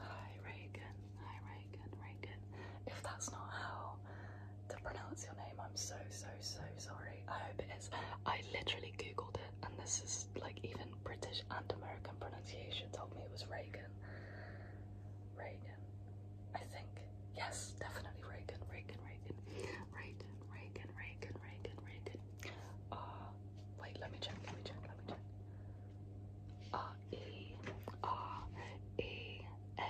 Hi Reagan, hi Reagan, Reagan. If that's not how to pronounce your name, I'm so, so, so sorry. I hope it is. I literally googled it and this is like even British and American pronunciation told me it was Reagan. Reagan, I think. Yes, definitely Reagan, Reagan, Reagan. Reagan, Reagan, Reagan, Reagan, Reagan. Uh, wait, let me check, let me check, let me check. R E R E A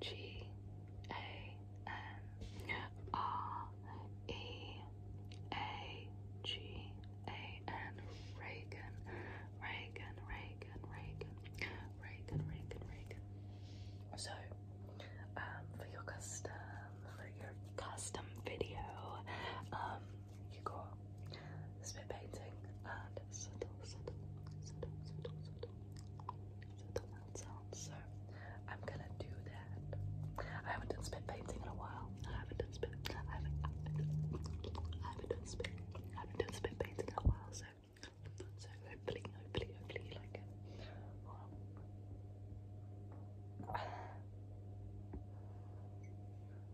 G A N R E A G A N Reagan Reagan Reagan Reagan Reagan Reagan So um for your custom for your custom video um you got spit painting and subtle, subtle, subtle, subtle, subtle, subtle mouth sounds. So I'm gonna do that. I haven't done spit painting in a while. I haven't done spit. I haven't. I haven't done spit. I haven't done spit painting in a while. So, so hopefully, hopefully, hopefully you like it. Um,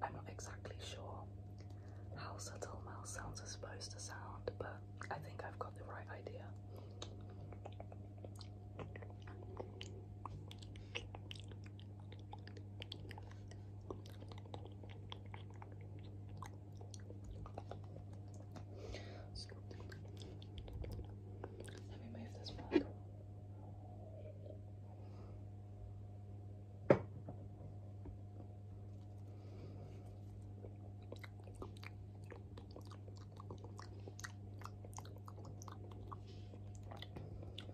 I'm not exactly sure how subtle mouth sounds are supposed to sound, but I think I've got the right idea. Let me move this back.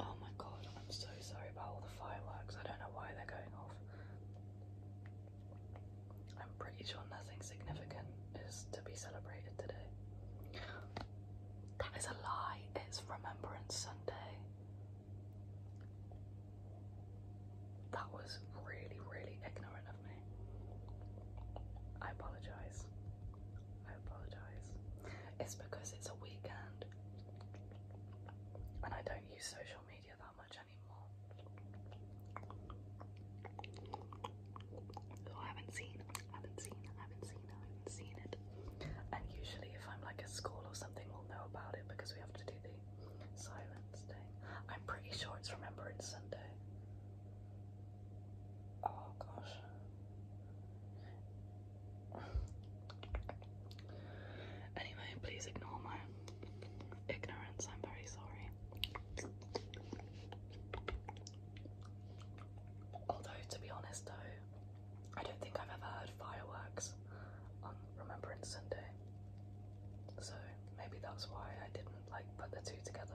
Oh my god, I'm so sorry about all the fireworks. I don't know why they're going off. I'm pretty sure nothing significant is to be celebrated today. That is a lie, it's Remembrance Sunday. That was really, really ignorant of me. I apologise. I apologise. It's because it's a weekend and I don't use social media that much anymore. Oh, I haven't seen, haven't seen, haven't seen, haven't seen it. And usually, if I'm like at school or something, we'll know about it because we have to do the silence thing. I'm pretty sure it's Remembrance Sunday. Oh gosh. Anyway, please ignore my ignorance. I'm very sorry. Although, to be honest though, I don't think I've ever heard fireworks on Remembrance Sunday. So maybe that's why I didn't like put the two together.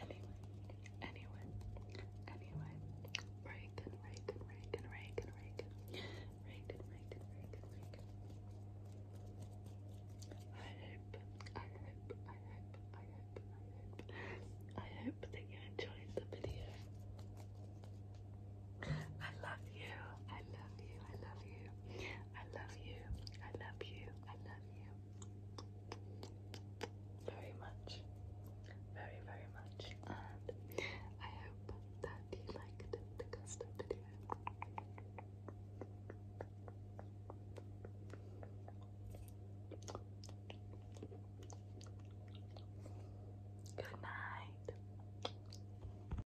Anyway, anyway, anyway, Reagan, Reagan, Reagan, Reagan, Reagan, Reagan, Reagan, Reagan, Reagan. I hope, I hope, I hope, I hope, I hope, I hope that you enjoyed the video. I love you. I love you. I love you, I love you, I love you, I love you very much, very, very much. And I hope that you liked the custom video. Good night.